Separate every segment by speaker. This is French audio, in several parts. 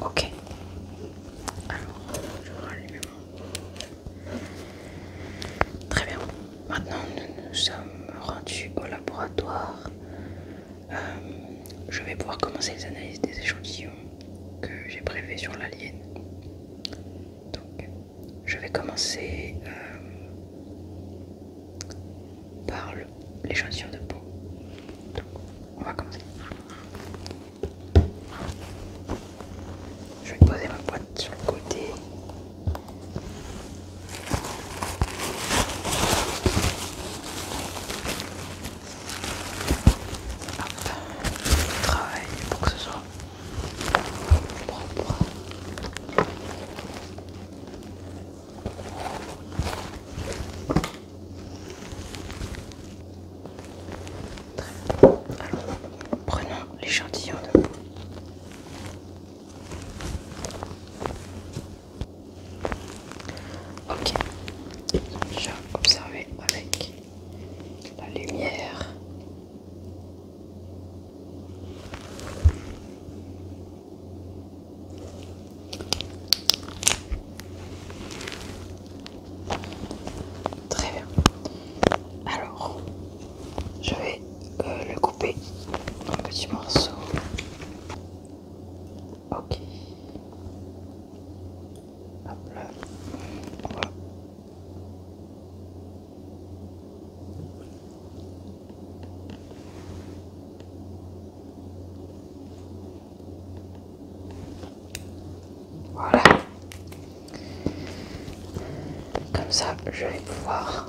Speaker 1: Ok. Alors, je vais rallumer mon... Très bien. Maintenant, nous nous sommes rendus au laboratoire. Euh, je vais pouvoir commencer les analyses des échantillons que j'ai prélevés sur l'alien. Donc, je vais commencer euh, par l'échantillon de peau. on va commencer. Je vais poser ma boîte sur le côté. Travail je pour que ce soit propre. Très Alors, prenons l'échantillon de peau. Ok, j'ai observé avec la lumière. Très bien. Alors, je vais euh, le couper en petits morceaux. Ok. Voilà. Voilà. Comme ça, je vais pouvoir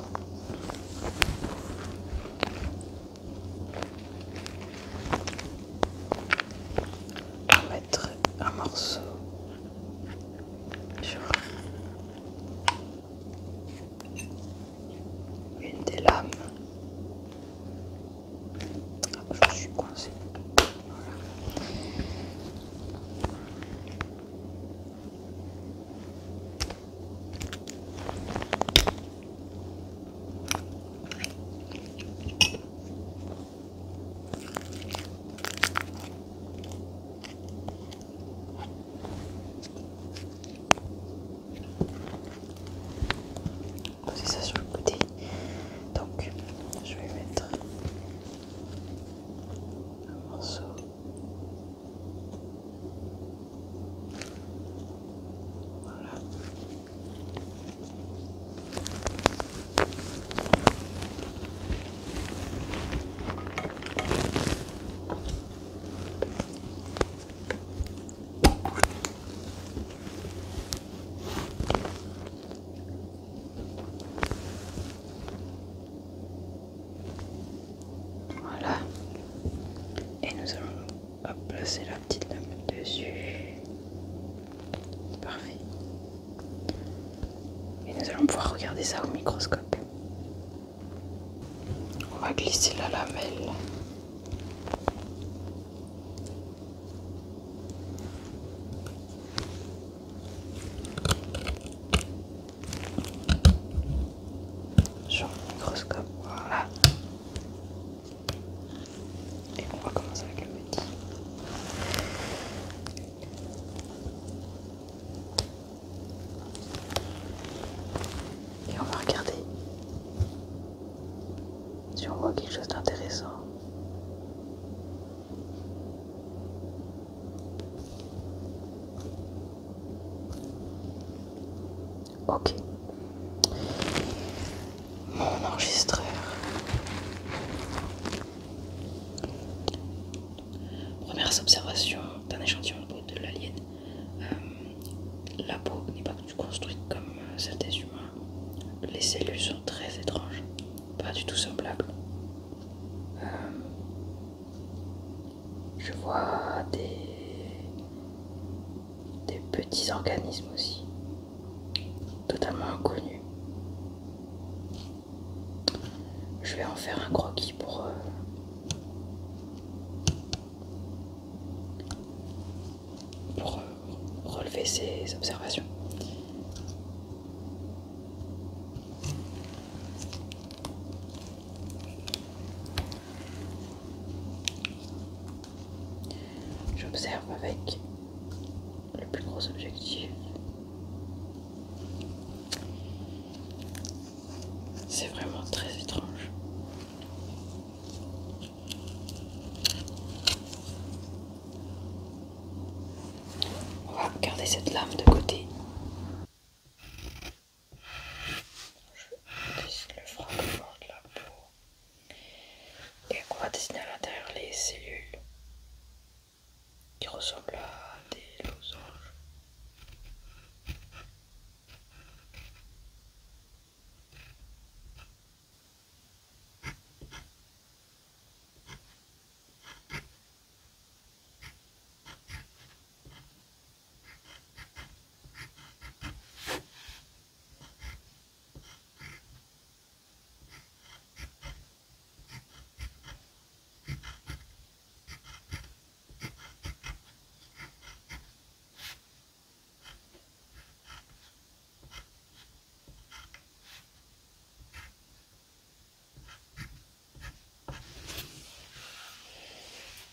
Speaker 1: un morceau une des lames. Je suis coincé. Poser ça sur le côté. Donc, je vais mettre un morceau. Voilà. Voilà. Et nous allons placer la petite lame dessus. Parfait. Et nous allons pouvoir regarder ça au microscope. On va glisser la lamelle. Sur le microscope, voilà. Et on va commencer avec le Et on va regarder si on voit quelque chose d'intéressant. Ok. Mon enregistreur. Première observation d'un échantillon de peau de l'alien. Euh, la peau n'est pas construite comme euh, celle des humains. Les cellules sont très étranges, pas du tout semblables. Euh, je vois des petits organismes aussi totalement inconnu. Je vais en faire un croquis pour, euh, pour euh, relever ces observations. J'observe avec le plus gros objectif. C'est vraiment très étrange. On va garder cette lame de côté. Je laisse le fragment de la peau. Et on va dessiner à l'intérieur les cellules qui ressemblent à des losanges.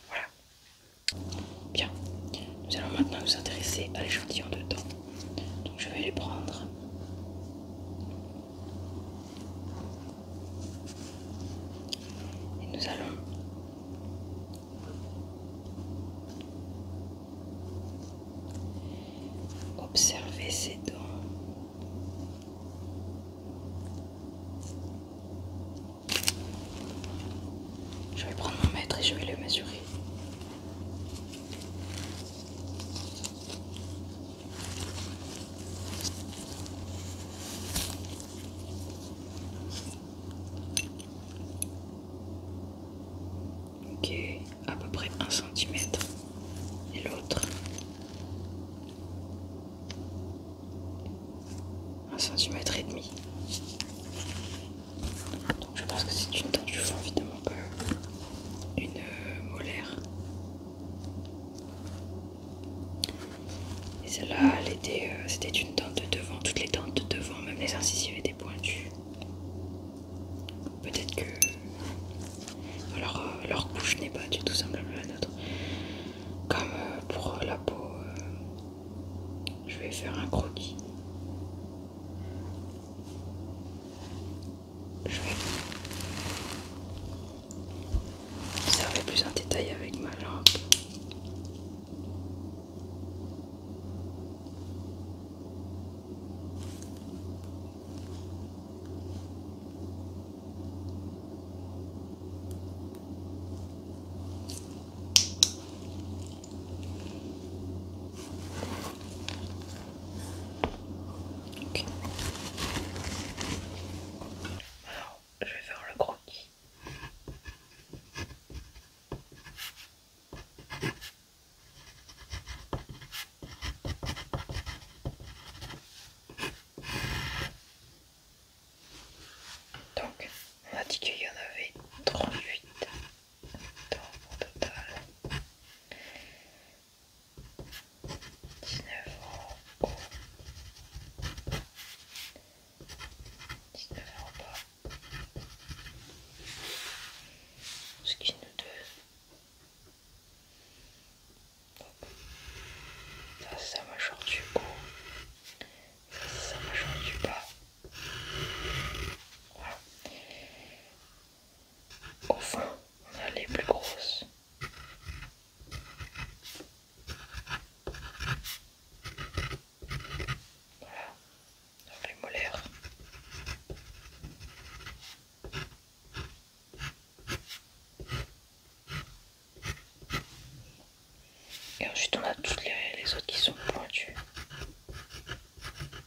Speaker 1: Voilà. Bien. Nous allons maintenant nous intéresser à l'échantillon de dents. Donc je vais les prendre. Et nous allons observer ses dents. Je vais prendre mon mètre et je vais le mesurer. Ok, à peu près un centimètre et l'autre un centimètre et demi. Donc je pense que c'est une dent, du vent évidemment pas une euh, molaire. Et celle-là, euh, c'était une dent de devant, toutes les dents de devant, même les incisives étaient pointues. Peut-être que leur, euh, leur couche n'est pas du tout semblable à la nôtre. Comme pour la peau, je vais faire un croquis je vais observer plus en détail avec ma lampe. Alors, je vais faire le croquis. Donc, on a dit qu'il y en avait 38 donc au total 19 ans haut 19 ans bas ce qui nous donne donc ça m'a sa du haut ça c'est sa mâchoire du bas au fond, on a les plus grosses. Voilà, les molaires. Et ensuite on a toutes les autres qui sont pointues.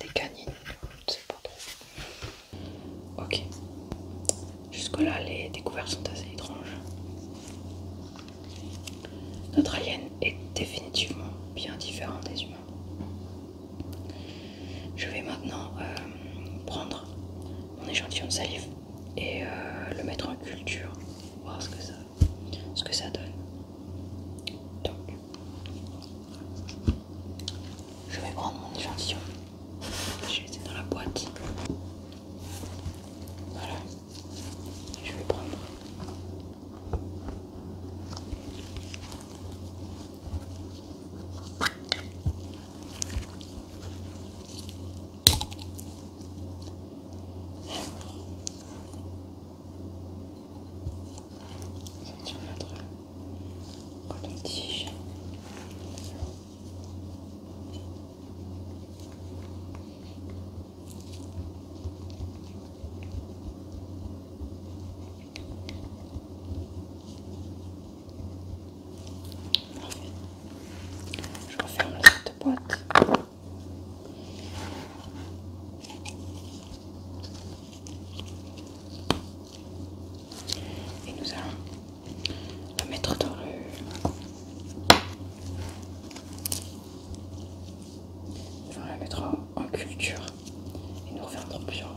Speaker 1: des canines, je Ok, jusque-là, les découvertes sont assez étranges. Notre alien est définitivement bien différent des humains. Je vais maintenant euh, prendre mon échantillon de salive et euh, le mettre en culture, voir ce que ça, ce que ça donne. Donc, je vais prendre mon échantillon. Je l'ai dans la boîte. Voilà. Je vais prendre. Je referme cette boîte. Et nous allons la mettre dans le... Nous allons la mettre en, culture. Et nous reviendrons plusieurs,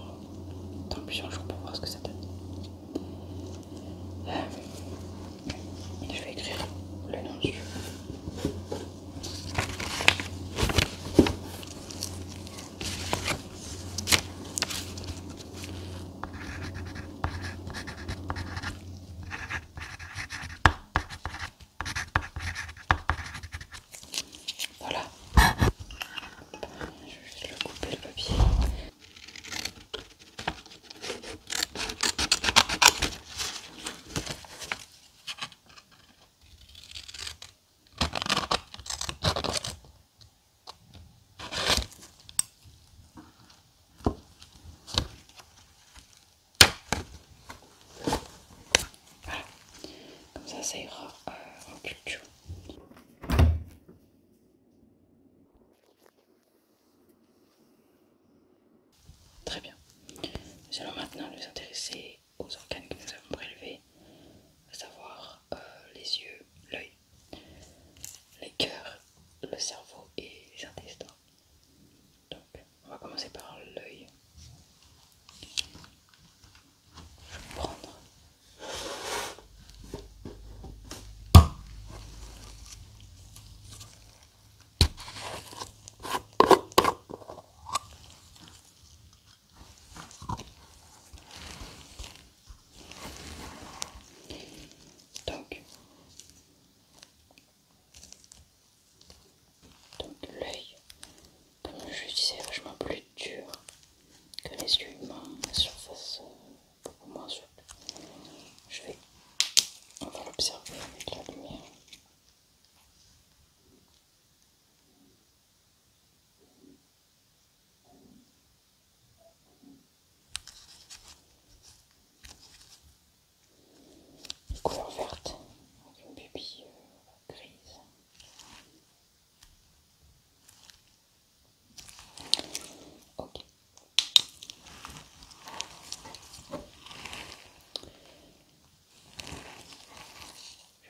Speaker 1: dans plusieurs jours pour voir ce que ça donne. Euh, je vais écrire le nom du voilà. Je vais juste le couper le papier. Voilà. Comme ça, ça ira euh, en culture. Très bien. Nous allons maintenant nous intéresser aux organes que nous avons prélevés, à savoir euh, les yeux, l'œil, les cœurs, le cerveau et les intestins. Donc, on va commencer par l'œil. Je vais prendre donc, l'œil, comme je disais, est vachement plus dur que les yeux humains, la surface euh, beaucoup moins souple. Je vais, on va l'observer avec la lumière couleur verte, avec une pupille euh, grise. Ok.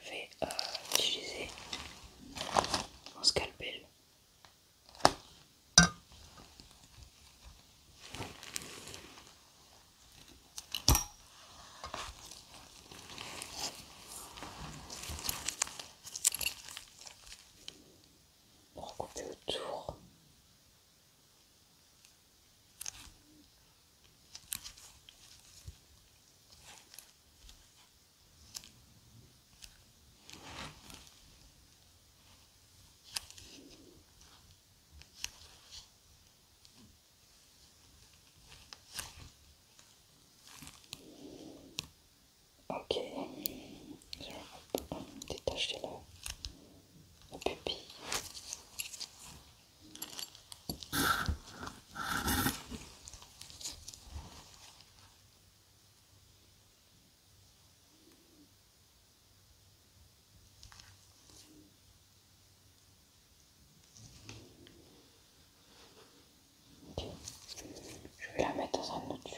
Speaker 1: Je vais euh, utiliser mon scalpel. Pour couper autour. Ok, je vais détacher la, la pupille. Je vais la mettre dans un autre tube.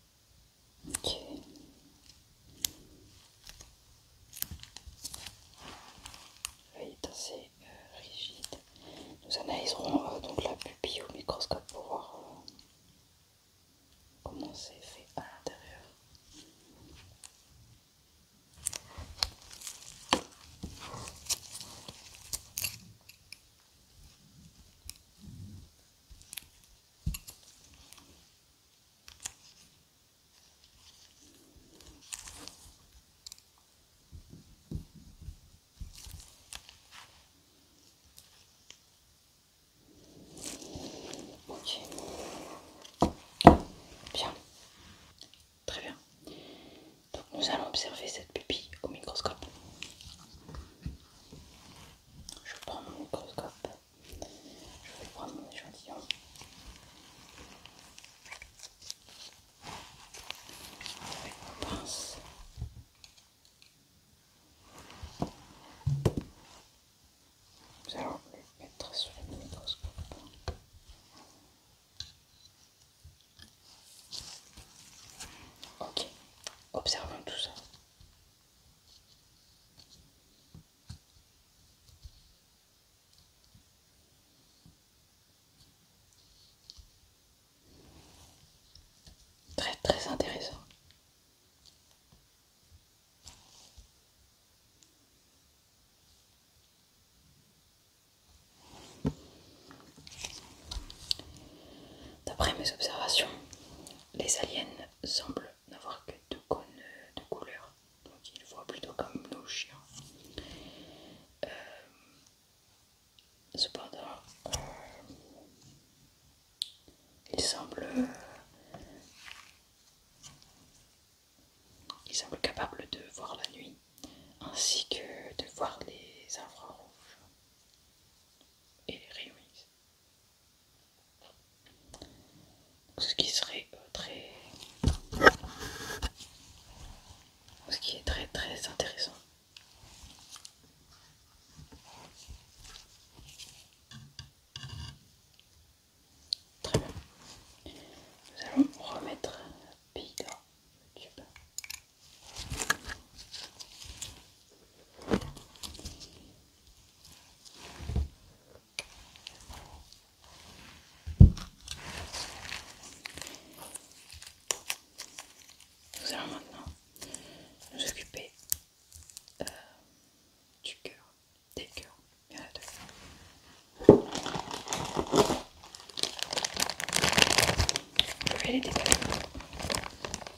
Speaker 1: L'œil est assez rigide. Nous analyserons euh, donc la pupille au microscope pour voir euh, comment c'est fait à l'intérieur. Bien. Très bien. Donc nous allons observer cette pupille au microscope. Je prends mon microscope. Je vais prendre mon échantillon. Avec mon pince. Nous allons le mettre sur le microscope. Ok, observons tout ça. Très très intéressant. D'après mes observations, les aliens semblent n'avoir que deux cônes de couleur, donc ils voient plutôt comme nos chiens. Euh, cependant, euh, ils semblent capables de voir la nuit ainsi que de voir les infrarouges et les réunissent. Ce qui serait euh, très. Ce qui est très très intéressant. Très bien. Nous allons remettre la dans le tube. Nous allons maintenant nous occuper euh, du cœur, des cœurs. Il y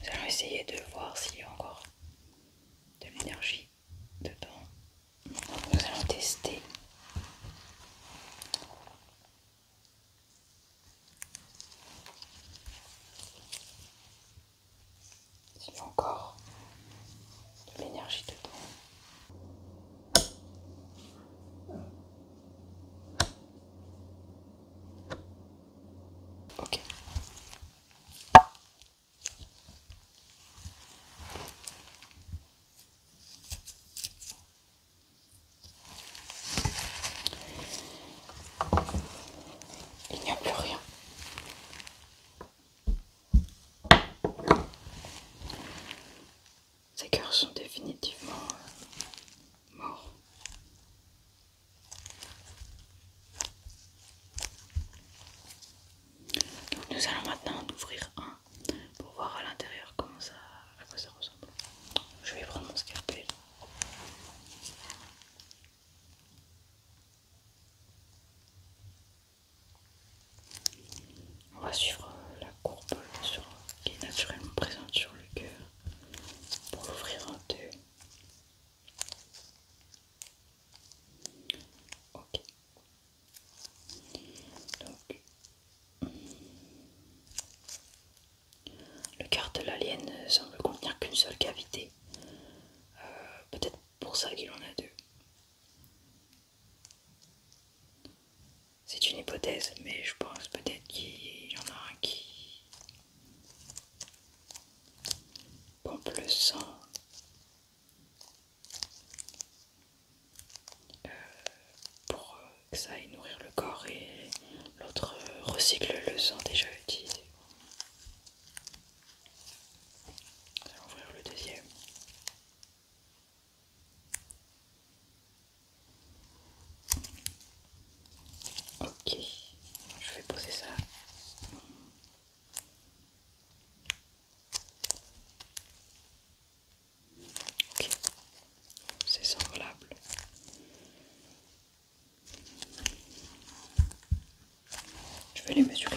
Speaker 1: Nous allons essayer de voir s'il y a encore de l'énergie dedans. Nous allons tester. S'il y a encore de l'énergie dedans. Il n'y a plus rien. Ces cœurs sont définitivement euh, mort. nous allons maintenant en ouvrir un pour voir à l'intérieur comment ça, à quoi ça ressemble. Je vais prendre mon scalpel. On va suivre la courbe qui est naturellement présente sur le cœur pour l'ouvrir un deux. Ok. Donc, le cœur de l'alien ne semble contenir qu'une seule cavité. Euh, peut-être pour ça qu'il en a deux. C'est une hypothèse, mais je pense peut-être qu'il y en a un qui pompe le sang euh, pour que ça aille nourrir le corps et l'autre recycle le sang déjà utilisé. on allons ouvrir le deuxième. Ok, je vais poser ça. Ok, c'est semblable. Je vais les mesurer.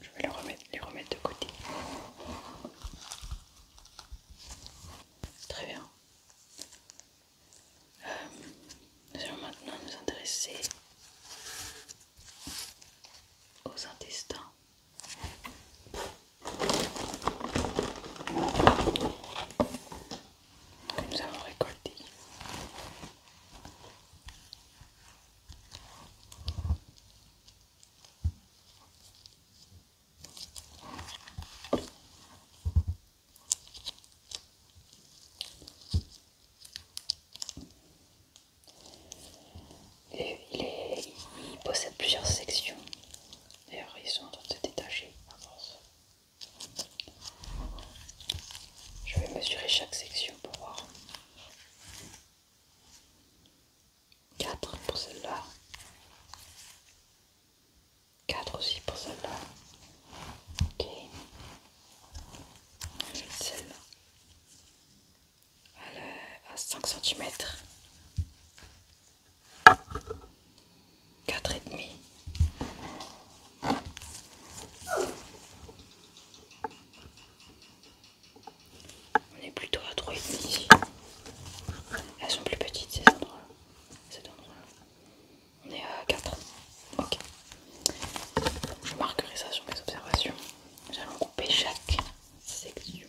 Speaker 1: Je vais les remettre, les remettre de côté. Très bien. Euh, nous allons maintenant nous intéresser aux intestins. Nous avons récolté. Il, il possède plusieurs sections. D'ailleurs, ils sont en train de se détacher Je vais mesurer chaque section pour voir. 4 pour celle-là. 4 aussi pour celle-là. Ok. Celle-là. À 5 cm. 4,5. On est plutôt à 3,5. ici. Elles sont plus petites ces endroits-là. On est à 4. Ok. Je marquerai ça sur mes observations. J'allons couper chaque section.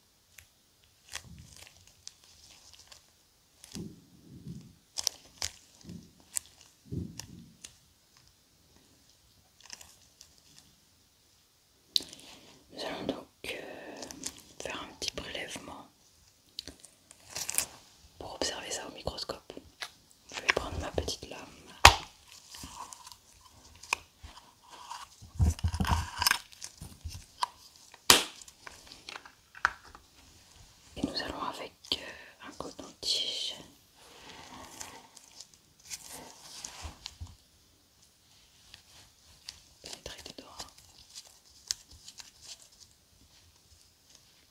Speaker 1: Nous allons donc euh, faire un petit prélèvement pour observer ça au microscope. Je vais prendre ma petite lame. Et nous allons avec euh, un coton-tige. Pénétrer des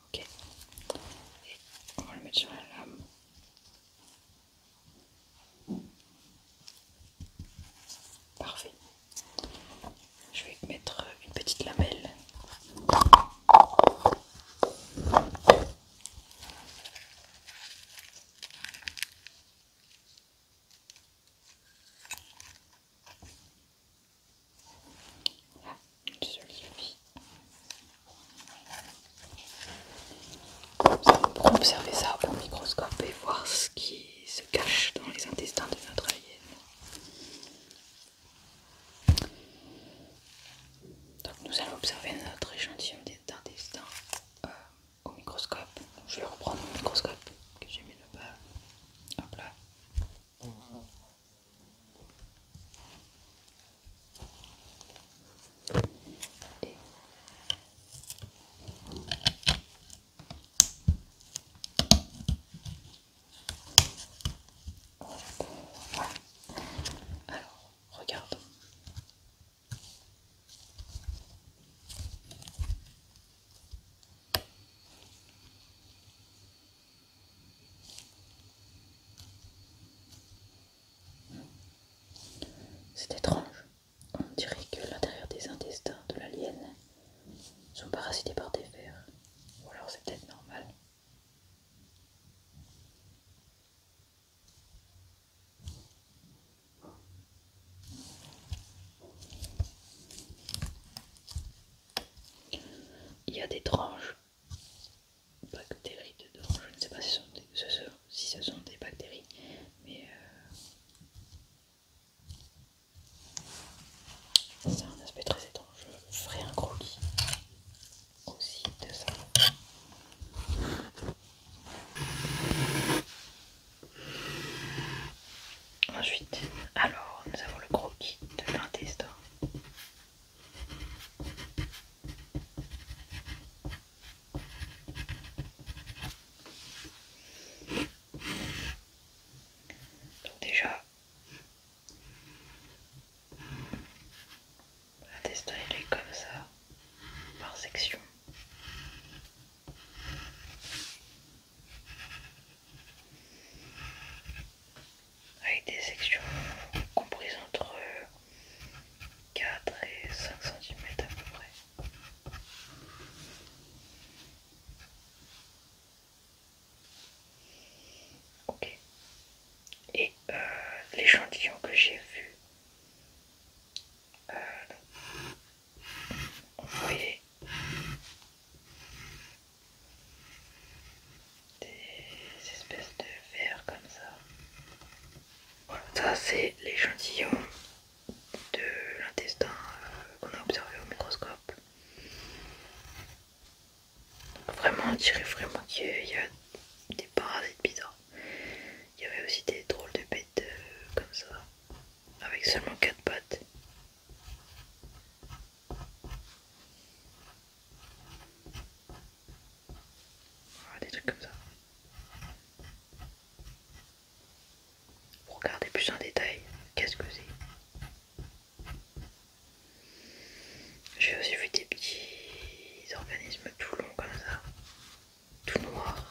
Speaker 1: Ok. on va le mettre sur la lame. Parfait. Je vais mettre une petite lamelle. Voilà, pour observer ça au microscope et voir ce qui se cache dans les intestins de notre hyène. Donc nous allons observer notre échantillon d'intestins euh, au microscope. Je vais reprendre mon microscope que j'ai mis là-bas. Hop là. Alors, regarde. C'est étrange. On dirait que l'intérieur des intestins de l'alien sont parasités par des vers. Ou alors c'est peut-être normal. Il y a des tranches bactéries dedans, je ne sais pas si ce sont des, si ce sont des bactéries, mais euh, c'est a un aspect très étrange. Je ferai un croquis aussi de ça. Ensuite, alors nous avons le croquis de l'intestin. Donc déjà, la destin est comme ça, par section. Avec des sections comprises entre 4 et 5 cm à peu près. Ok. Et euh, l'échantillon que j'ai vu, vous euh, voyez des espèces de verres comme ça. Voilà, ça c'est l'échantillon de l'intestin euh, qu'on a observé au microscope. Vraiment, on dirait vraiment qu'il y a des parasites bizarres. Il y avait aussi des drôles de bêtes euh, comme ça, avec seulement 4 pattes. Ah, des trucs comme ça. Regardez plus en détail, qu'est-ce que c'est J'ai aussi vu des petits organismes tout longs comme ça, tout noirs.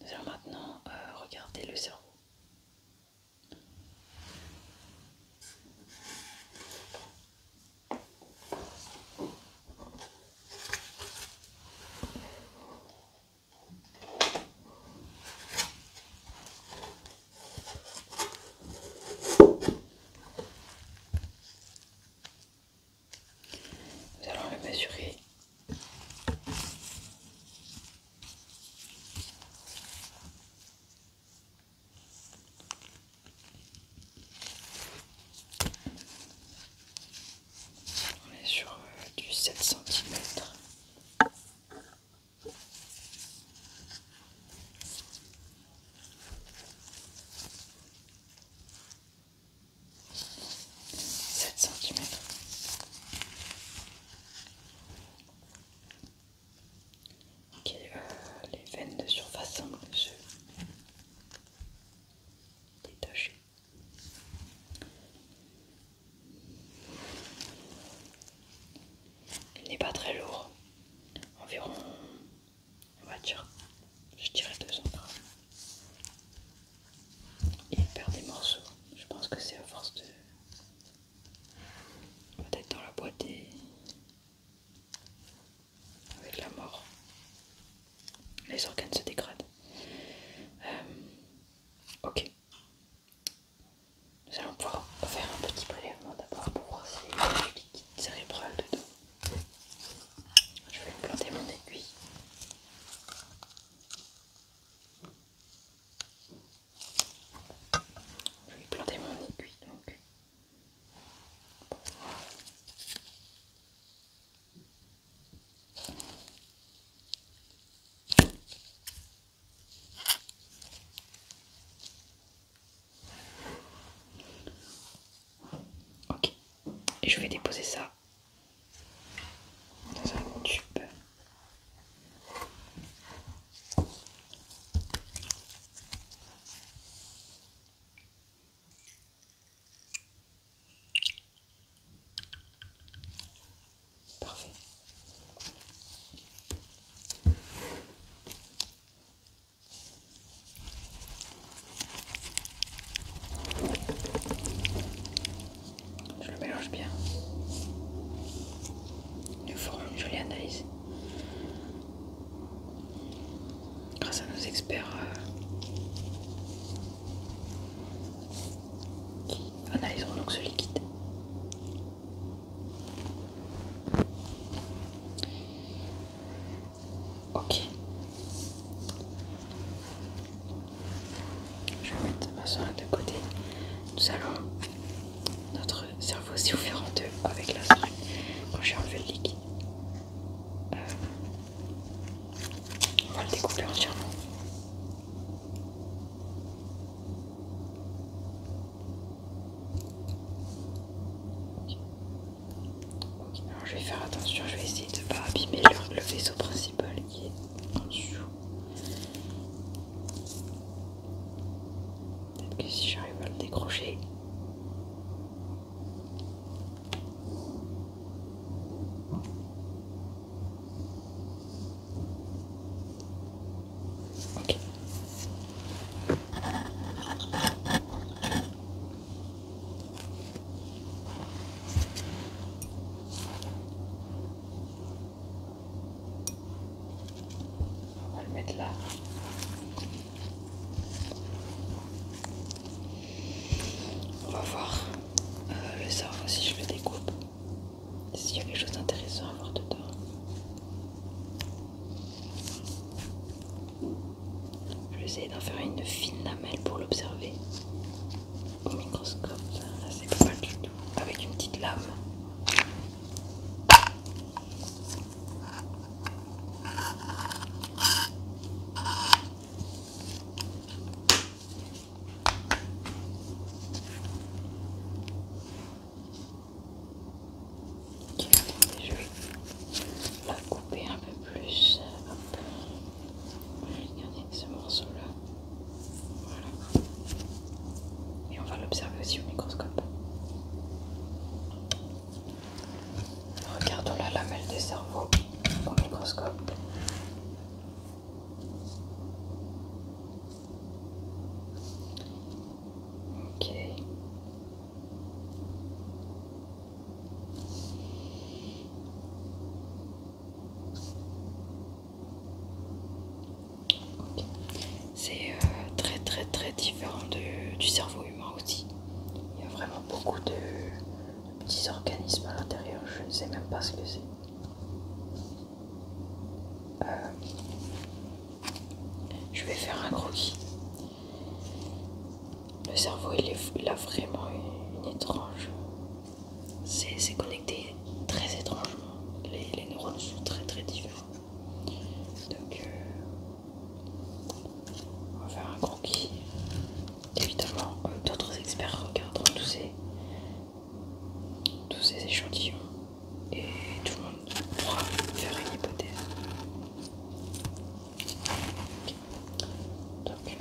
Speaker 1: Nous allons maintenant euh, regarder le cerveau. Nous allons le mesurer. On est sur euh, du 7 cm. 7 centimètres. Ok, euh, les veines de surface semblent se détacher. Il n'est pas très lourd, environ, on va dire, je dirais 200 grammes. Il perd des morceaux, je pense que c'est à force de. Peut-être dans la boîte des... Avec la mort, les organes se dégradent. Euh, Ok. Nous allons pouvoir faire un petit prélèvement d'abord pour voir s'il y a du liquide cérébral dedans. Je vais planter mon aiguille. Je vais planter mon aiguille donc. Ok, et je vais déposer ça dans un tube. Je le mélange bien. Nous forme une jolie analyse. Grâce à nos experts euh, analyseront donc ce liquide. Ok. Je vais mettre ma soin de côté. Nous allons. Notre cerveau s'est ouvert en deux avec la seringue quand j'ai enlevé le liquide. Euh, on va le découper entièrement. Ok alors je vais faire attention, je vais essayer de ne pas abîmer le, le vaisseau principal qui est en dessous. Peut-être que si j'arrive à le décrocher. Ok. On va le mettre là. On va voir le cerf aussi je le découpe, s'il y a quelque chose d'intéressant à voir dedans. Je vais essayer d'en faire une fine lamelle pour l'observer au microscope. ça c'est pas du tout. Avec une petite lame je vais la couper un peu plus. Regardez ce morceau-là. Voilà. Et on va l'observer aussi au microscope. Regardons la lamelle des cerveaux au microscope. C'est euh, très très très différent du cerveau humain aussi. Il y a vraiment beaucoup de petits organismes à l'intérieur, je ne sais même pas ce que c'est. Euh, je vais faire un croquis. Le cerveau, il, est, a vraiment une, étrange. C'est connecté très étrangement. Les, neurones sont très très différents. Donc, euh, on va faire un croquis. Évidemment, d'autres experts regardent tous ces, tous ces échantillons et tout le monde pourra faire une hypothèse. Donc,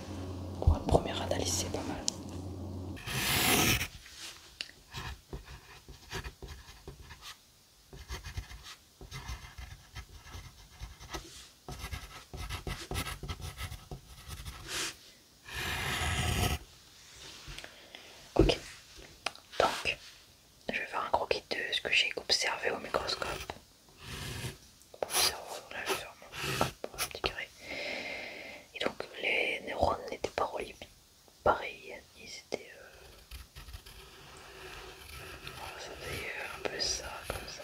Speaker 1: pour une première analyse, c'est pas mal. Ok, donc je vais faire un croquis de ce que j'ai observé au microscope. Pour le cerveau, là je vais faire mon, petit carré. Et donc les neurones n'étaient pas reliés pareil, ils étaient. Euh... On oh, un peu ça, comme ça.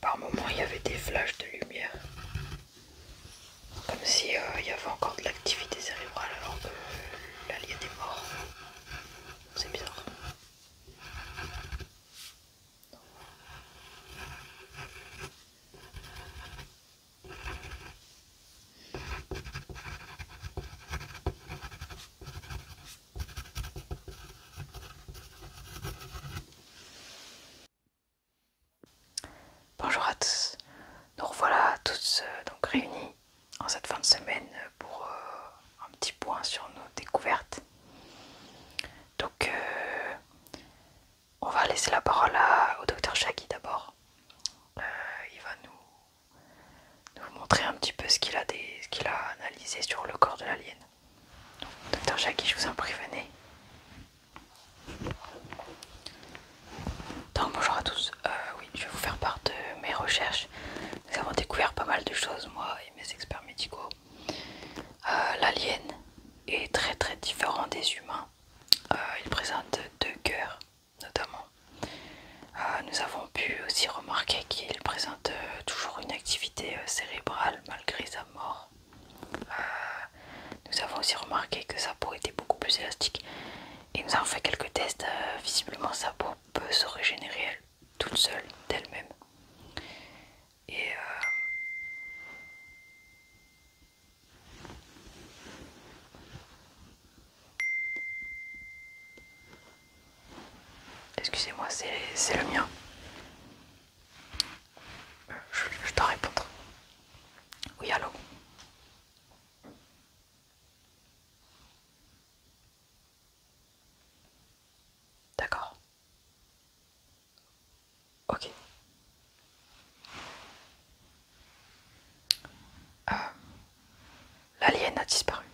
Speaker 1: Par moments, il y avait des flashs de lumière, comme si euh, il y avait encore de l'activité cérébrale alors que l'alien est mort. C'est bizarre. Bonjour à tous, nous revoilà tous euh, donc réunis en cette fin de semaine pour euh, un petit point sur nos découvertes. Donc euh, on va laisser la parole au docteur Shaggy d'abord. Euh, il va nous, nous montrer un petit peu ce qu'il a, analysé sur le corps de l'alien. Docteur Shaggy, je vous en prie, venez. bonjour à tous, euh, oui, je vais vous faire part de mes recherches. Nous avons découvert pas mal de choses, moi et mes experts médicaux. Euh, l'alien est très très différent des humains. Euh, il présente deux cœurs notamment. Euh, nous avons pu aussi remarquer qu'il présente toujours une activité cérébrale malgré sa mort. nous avons aussi remarqué que sa peau était beaucoup plus élastique et nous avons fait quelques tests. visiblement sa peau peut se régénérer toute seule d'elle-même. Et euh, Excusez-moi, c'est le mien. Je, je dois répondre. Oui, allô D'accord. Ok. Euh, l'alien a disparu.